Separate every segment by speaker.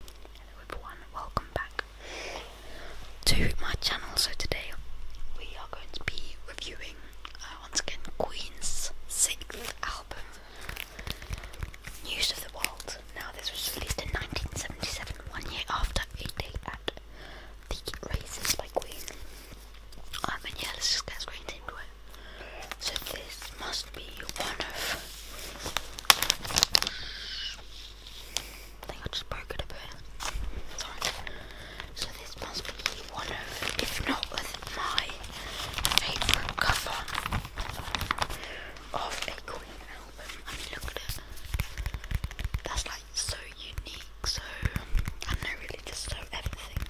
Speaker 1: Hello everyone, welcome back to my channel. So today we are going to be reviewing uh, once again Queen's sixth album, News of the World. Now this was released in 1977, one year after a day at the races by Queen. Um, and yeah, let's just get straight into it. So this must be one of I think I just broke it a bit. Sorry. So this must be one of, if not my favourite cover of a Queen album. I mean, look at it. That's like so unique, so I don't really just so everything.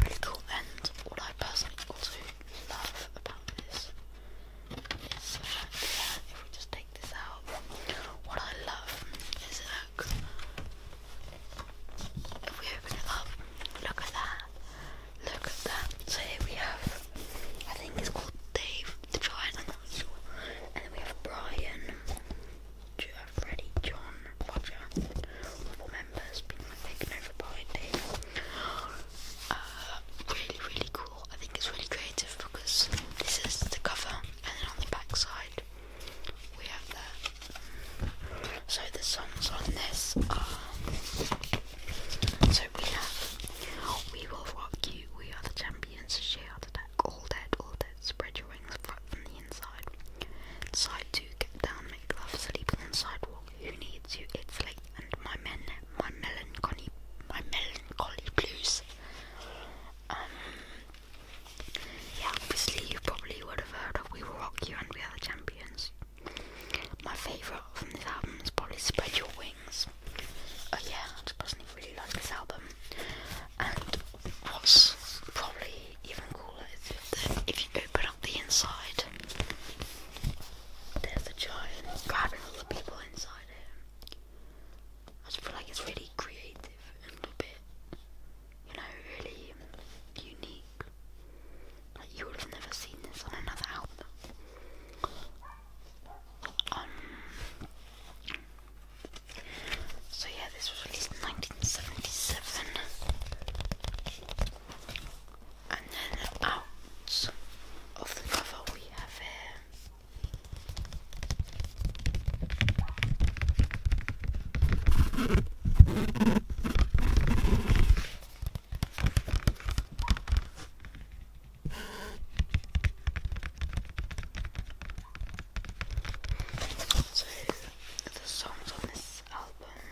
Speaker 1: Really cool, and what I personally also love about this if we just take this out, what I love is look. If we open it up, look at that. Look at that. So here we have, I think it's called Dave the Giant, i And then we have Brian, Freddy, John, Cameron Blodger, all members being taken over uh, really, really cool. I think it's really creative because this is the cover, and then on the back we have that. So the songs on this are. So we have We Will Rock You, We Are the Champions, She Heart Attack, All Dead, All Dead, Spread Your Wings, Flat from the Inside, Sight to get down, make love, sleep on the sidewalk. Who needs you? It's late, and my men, my melancholy, my melancholy blues. Um, yeah, obviously you probably would have heard of We Will Rock You and We Are the Champions. My favourite from this album is probably Spread Your Wings. Oh yeah, I just personally really like this album. And what's probably even cooler is that if you open up the inside, there's a giant grabbing all the people inside him. I just feel like it's really creative and a little bit, you know, really unique. you would have never seen this on another album. Um, so yeah, this was released in 1977. And then out of the cover we have here. So the songs on this album,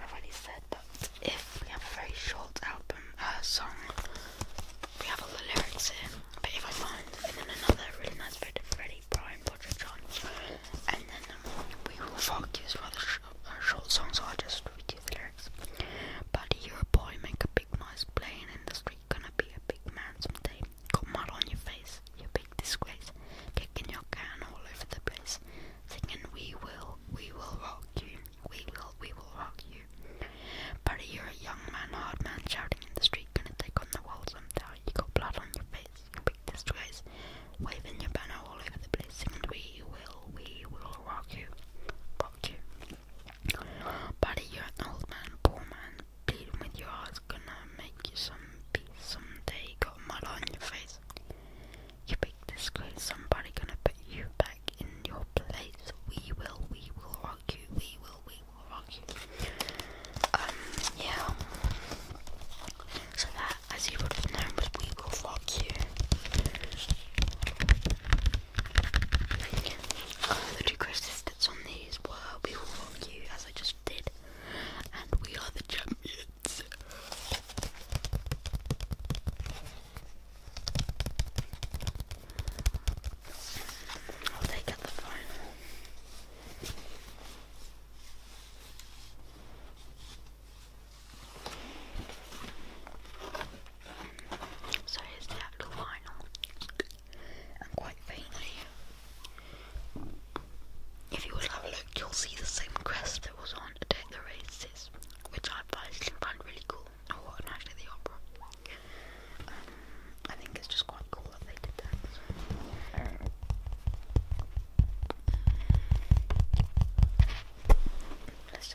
Speaker 1: I've already said that if we have a very short album uh, song, we have all the lyrics in. But if I find and then another really nice bit of Freddie Brian Podrick John, and then we will focus rather sh uh, short songs. So just redo the lyrics. But you're a boy, make a big noise playing in the street, gonna be a big man someday. Got mud on your face, you big disgrace. Kicking your can all over the place. Singing, we will, we will rock you. We will, we will rock you. Buddy, you're a young man, hard man, shouting in the street, gonna take on the world someday. You got blood on your face, you big disgrace. Waving your banner all over the place, singing, we will, we will rock you. Rock you. Buddy, you're an old man, poor man. Pleading with your heart's gonna make you some peace some day. got mud on your face. You big disgrace, somebody gonna put you back in your place. We will, we will rock you, we will, we will rock you. Um, yeah. So that, as you would have We Will Rock You. Uh, the two crosses that's on these were We Will Rock You, as I just did, and We Are the Champions. take out the final. So here's the actual vinyl, and quite faintly, if you would have a look, you'll see the same crest that was on the Races, which I personally find really cool. Oh, and actually the opera. Um, I think it's just quite cool that they did that.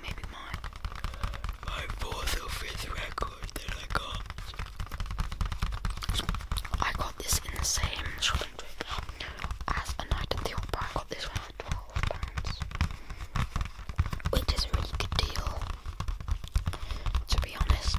Speaker 1: maybe my my fourth or fifth record that I got. I got this in the same shopping as a night at the opera. I got this for twelve pounds, which is a really good deal, to be honest.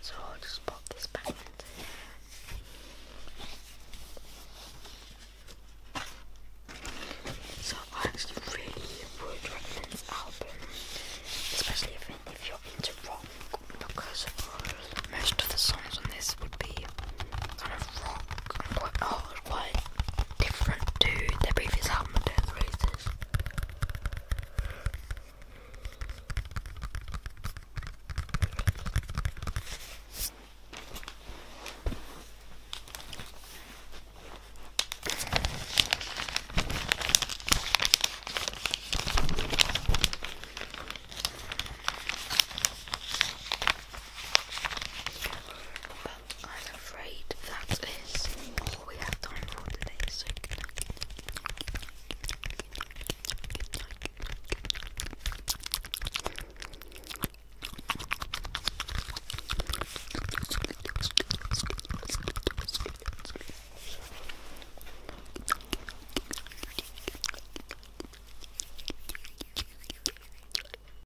Speaker 1: So I'll just pop this back into here. So I actually really would recommend this album, especially if, you're into rock, because most of the songs on this would be kind of rock oh, quite different to the previous album and releases. I'm afraid that is all we have time for today.